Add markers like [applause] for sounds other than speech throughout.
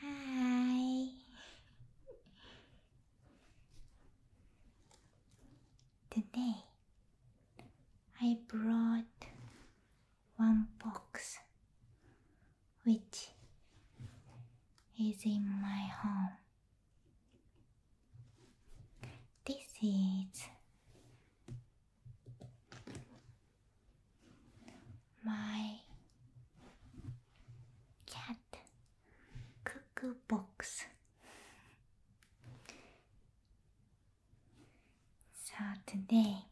Hi. Today I brought one box which is in my home. This is my cat cuckoo box. So today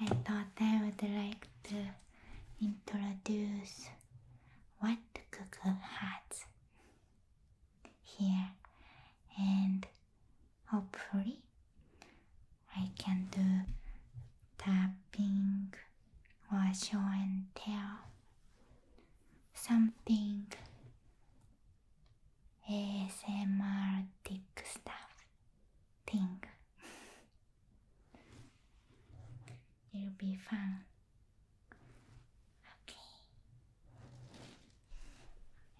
I thought I would like to introduce what cuckoo has here and hopefully I can do tapping or show and tell something ASMR stuff thing [laughs] It'll be fun. Okay.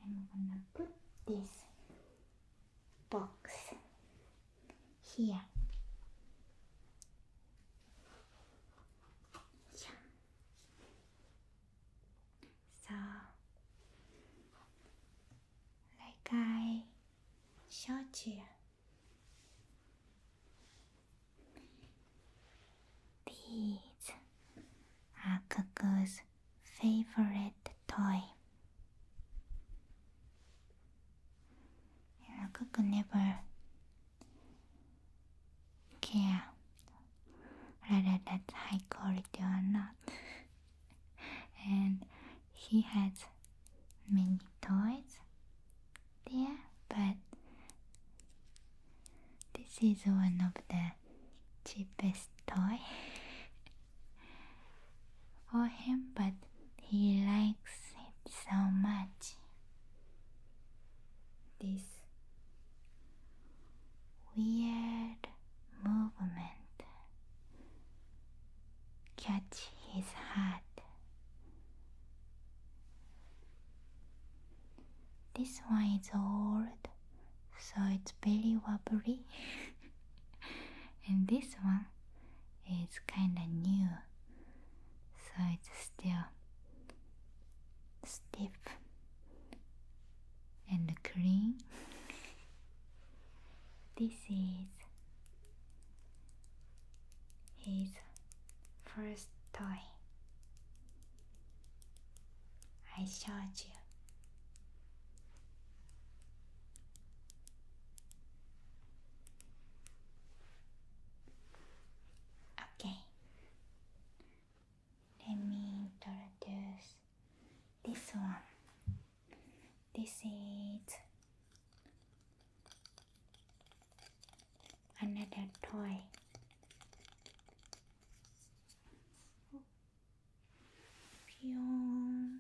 I'm gonna put this box here. Yeah. So, like I showed you, these are Cuckoo's favorite toy. And never care whether that's high quality or not. [laughs] and he has many toys there, but this is one of the cheapest toy [laughs] for him, but he likes it so much. This weird movement catch his heart this one is old, so it's very wobbly. [laughs] and this one is kinda new, so it's still stiff and clean. [laughs] this is his first toy I showed you. Okay, let me introduce this one. This is another toy. Pew.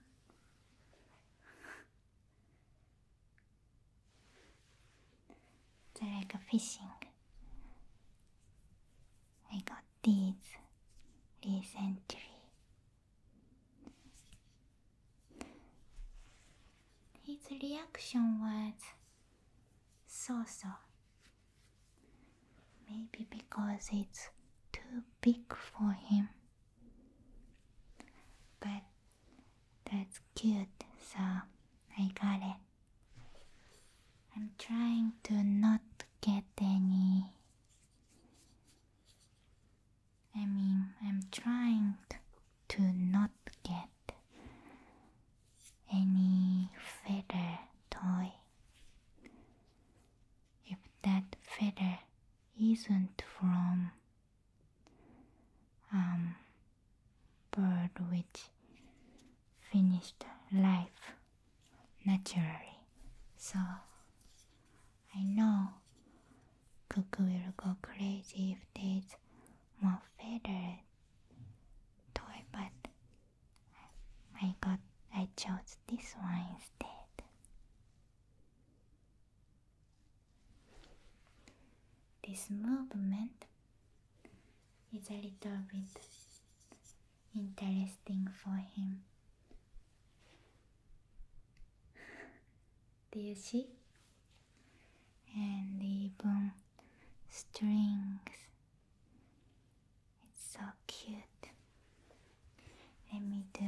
they like fishing. I got these recently. His reaction was so so. Maybe because it's too big for him. But that's cute, so I got it. I'm trying to not get any I mean, I'm trying to not get any feather toy. If that feather isn't from um bird which finished life naturally, so I know Cuckoo will go crazy if there's more feathered toy, but I got I chose this one instead. This movement is a little bit interesting for him. Do you see? And even strings. It's so cute. Let me do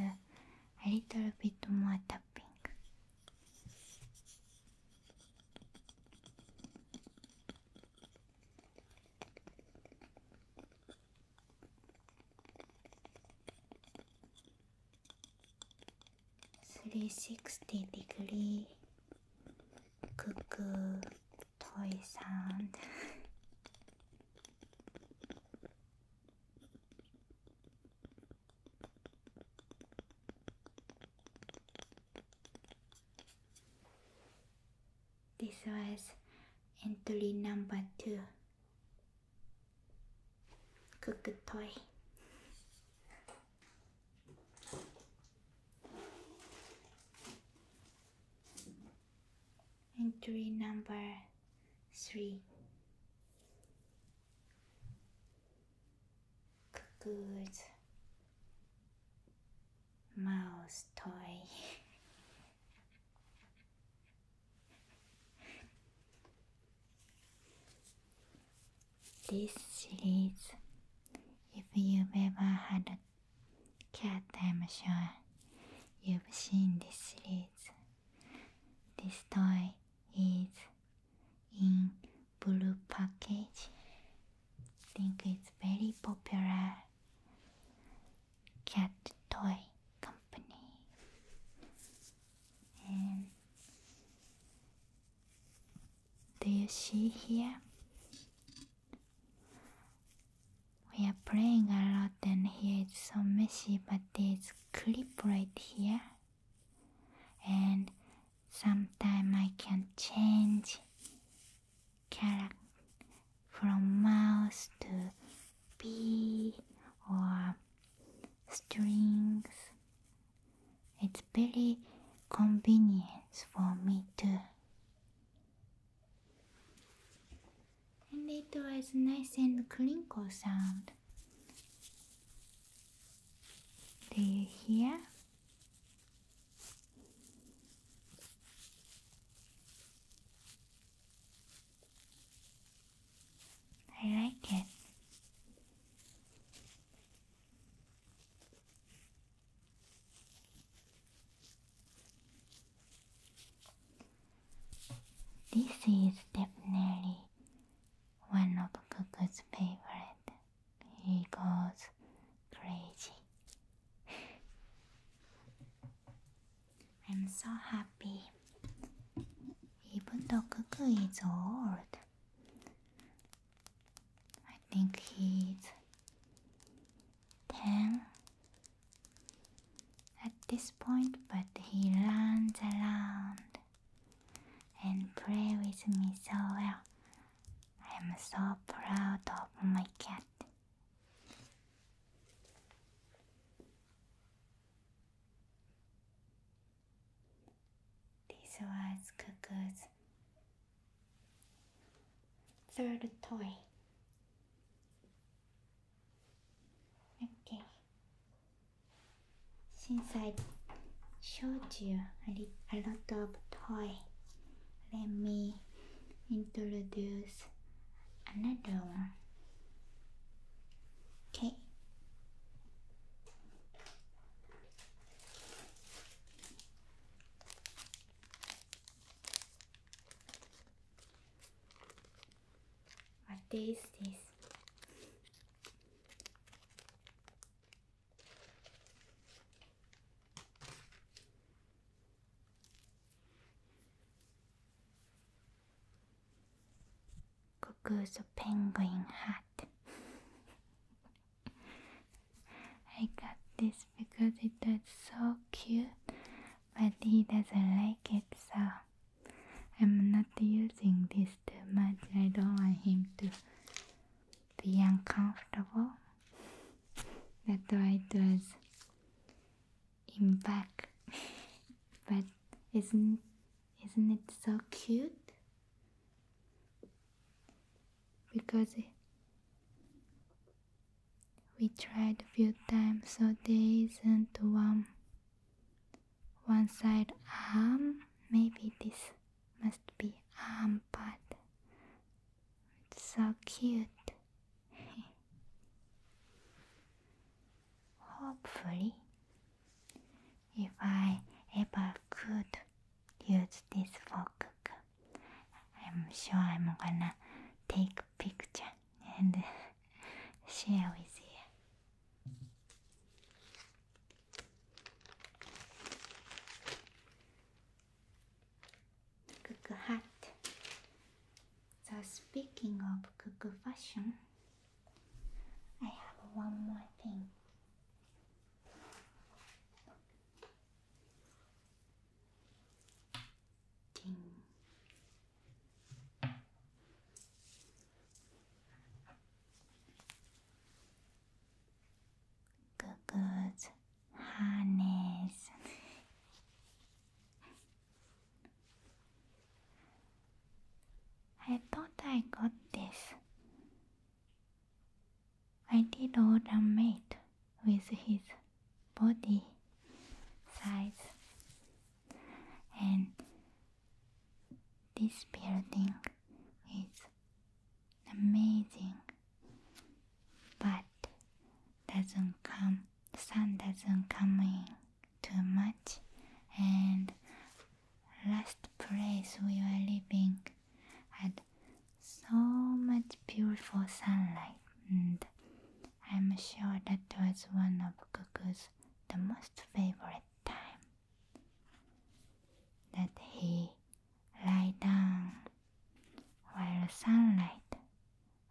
a little bit more tapping. 360 degree 구구 더 이상 This was entry number two. Good, good toy. Entry number three. Good mouse toy. [laughs] This series, if you ever had cat, I'm sure you've seen this series. This toy is in blue package. think it's very popular cat toy company do you see here? We are playing a lot and here it's so messy but this clip right here and sometimes I can change character from mouse to B or strings. It's very convenient for me too. And it was nice and crinkle sound. Do you hear? I like it. This is definitely one of Cuckoo's favorite. He goes crazy. [laughs] I'm so happy. Even though Cuckoo is old, I think he's 10 at this point, but he runs around and plays with me so well. I'm so proud of my cat. This was Cuckoo's third toy. Okay. Since I showed you a, a lot of toy, let me introduce another one. Okay. What day this? Cuckoo's a penguin hat. I got this because it was so cute, but he doesn't like it, so I'm not using this too much. I don't want him to be uncomfortable. That's why it was in back. [laughs] but isn't isn't it so cute? Because we tried a few times, so there isn't one one side arm. Maybe this must be arm part. It's so cute. Hopefully, if I ever could use this fork, I'm sure I'm gonna take picture and [laughs] share with you. Cook hat. So speaking of cuckoo fashion, I have one more thing. Ding. harness. [laughs] I thought I got this. I did all the with his body size and this building is amazing but doesn't come sun doesn't come too much and last place we were living had so much beautiful sunlight and I'm sure that was one of Cuckoo's the most favorite time that he lie down while sunlight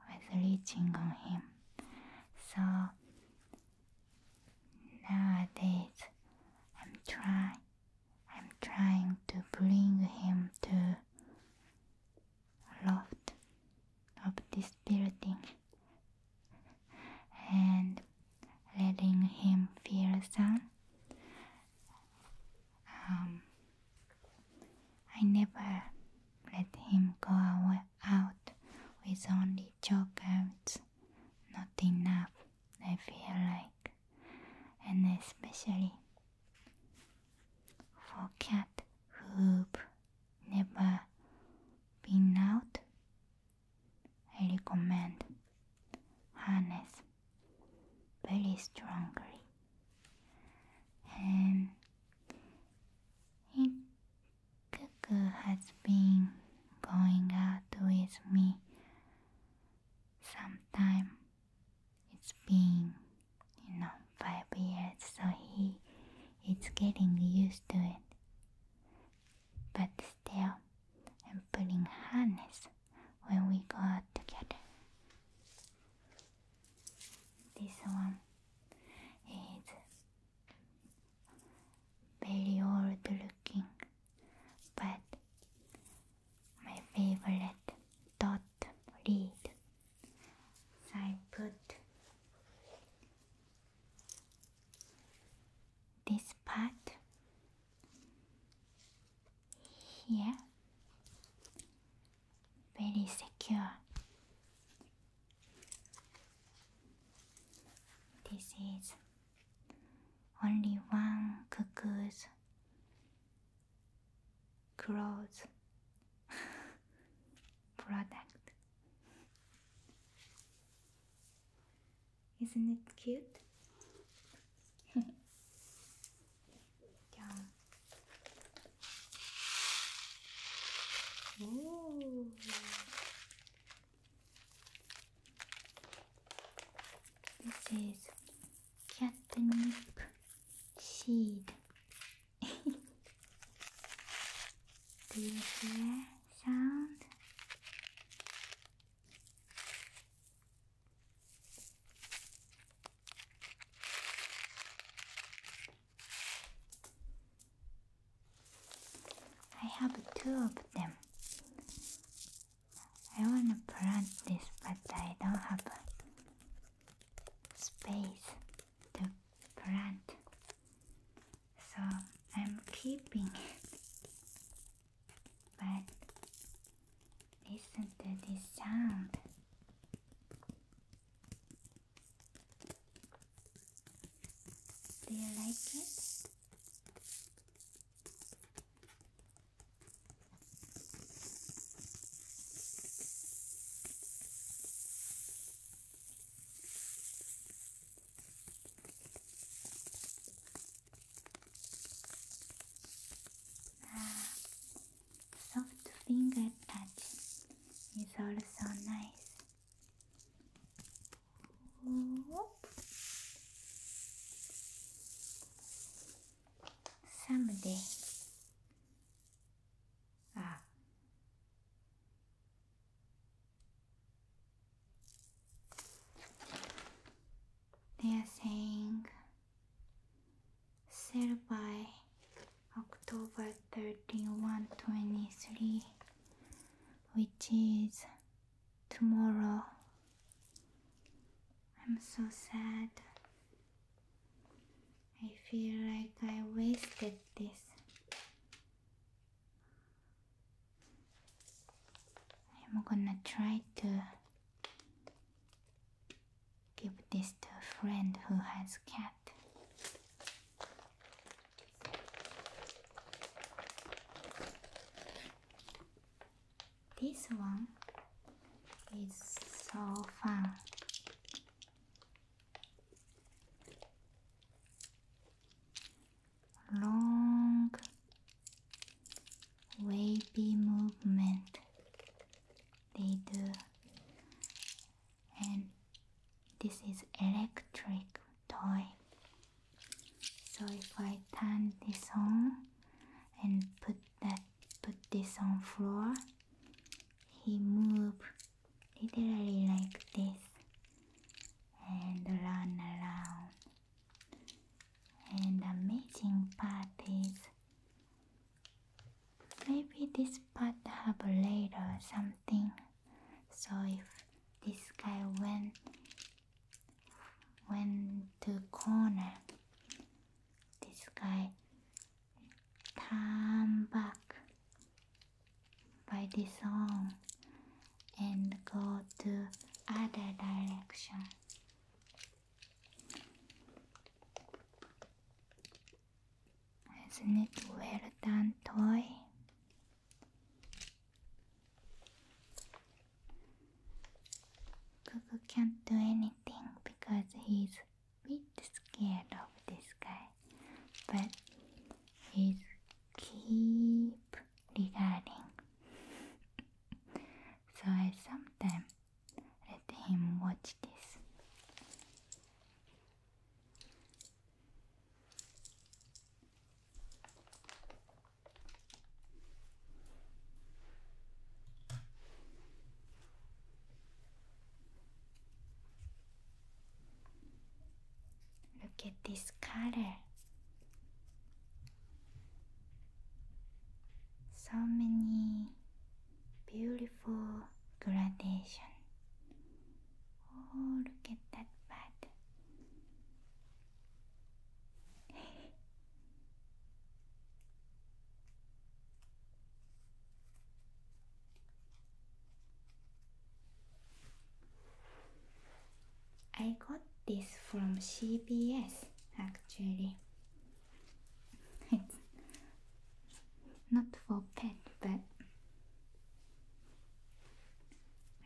was reaching on him. So nowadays I'm trying I'm trying to bring him to loft of this building and letting him feel some um, I never let him go out with only chocolates. Not enough, I feel like. And especially for cat who never been out, I recommend harness very strongly. And Ikkaku has been going out with me sometime. It's been, you know, five years, so he is getting used to it. But still, I'm putting harness when we go out together. This one He's very old looking, but my favorite dot read. So I put this part here very secure. This is only one cuckoo's clothes [laughs] product. Isn't it cute? [laughs] Yeah. Ooh. This is catnip seed. [laughs] Do you hear sound? I have two of them. I want to plant this, but I don't have space to plant, so I'm keeping it. But listen to this sound. Do you like it? Ah, soft finger touch is also nice. Someday. Ah. They are saying sailed by October 13, 123, which is tomorrow. I'm so sad. I feel like I wasted this. I'm gonna try to Give this to a friend who has cat. This one is so fun. Long wavy movement they do. And this is electric toy. So if I turn this on and put that put this on floor, he move literally like this and run around. And amazing part is Maybe this part have later or something. So if this guy went went to corner, this guy turn back by this arm and go to other direction. Isn't it well done toy? Gugu can't do anything because he's a bit scared of this guy. But he's keep regarding. [laughs] so I sometimes let him watch this. Look at this color so many beautiful gradation. Oh, look at that bud. [laughs] I got this from CBS actually. It's not for pet, but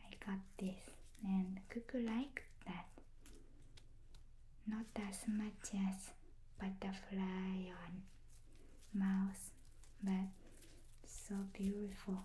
I got this, and Cuckoo like that. Not as much as butterfly on mouse, but so beautiful.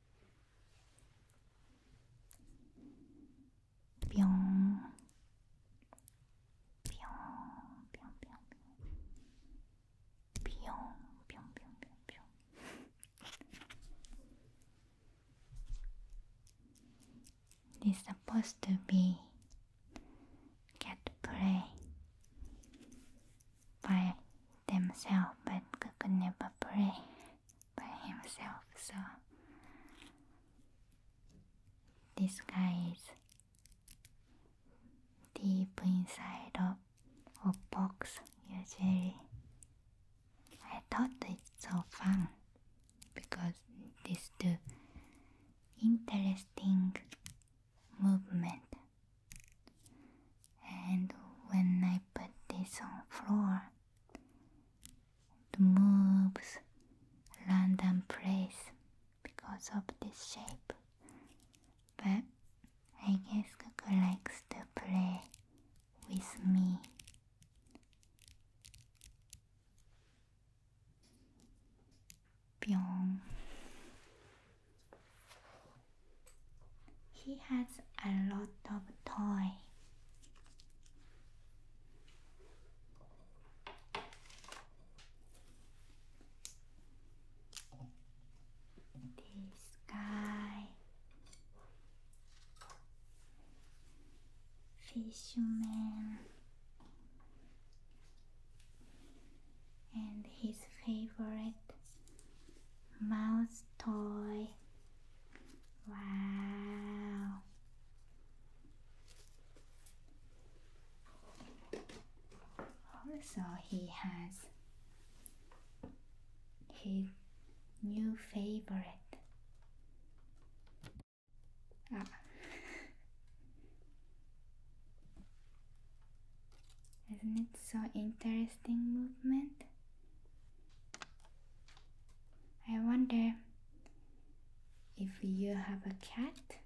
뿅. 뿅, 뿅, 뿅, 뿅. 뿅, 뿅, 뿅, 뿅, 뿅. This is supposed to be get play by themselves, but could never play by himself, so this guy is deep inside of a box usually. I thought it's so fun because this do interesting movement and when I put this on floor, it moves random place because of this shape. But I guess Cuckoo likes to play with me. Pyong. He has a lot of toy. This guy, fisherman, and his favorite mouse toy. Wow. Also, he has his new favorite. Ah. [laughs] Isn't it so interesting movement? I wonder if you have a cat,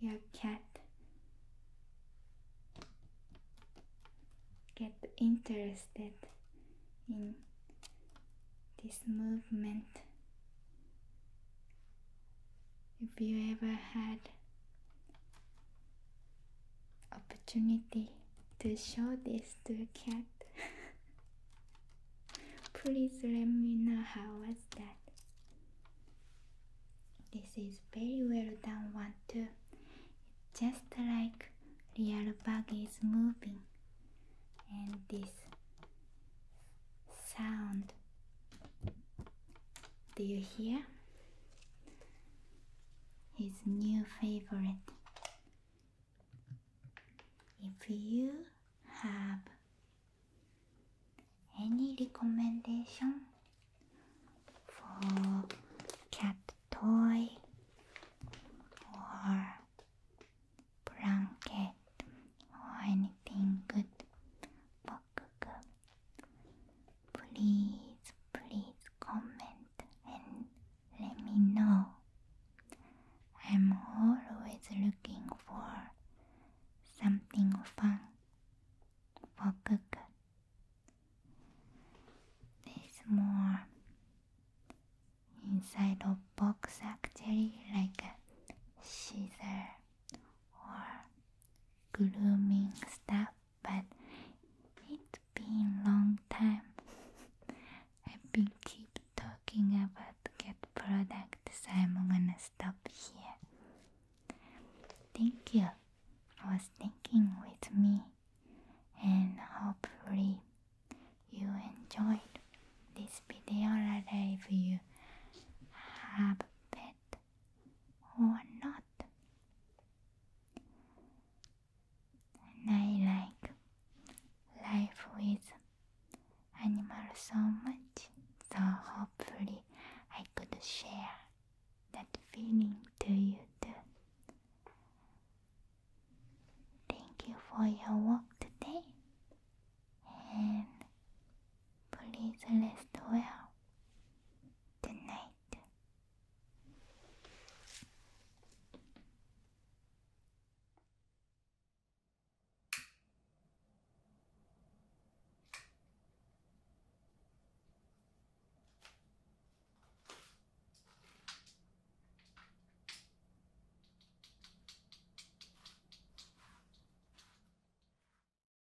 your cat get interested in this movement. If you ever had opportunity to show this to a cat. [laughs] Please let me know how was that. This is very well done one too. just like real bug is moving and this sound do you hear? his new favorite. If you have any recommendation for cat toy or blanket or anything good Please, please comment and let me know. I'm always looking for something fun for Kuku. There's more inside of box actually like a or grooming stuff but it's been long time. [laughs] I've been keep talking about cat products, so I'm gonna stop here. Thank you for sticking with me, and hopefully you enjoyed this video. Or if you have pet or not. And I like life with animals so much, so hopefully I could share that feeling to you too. Thank you for your work today, and Please rest well tonight.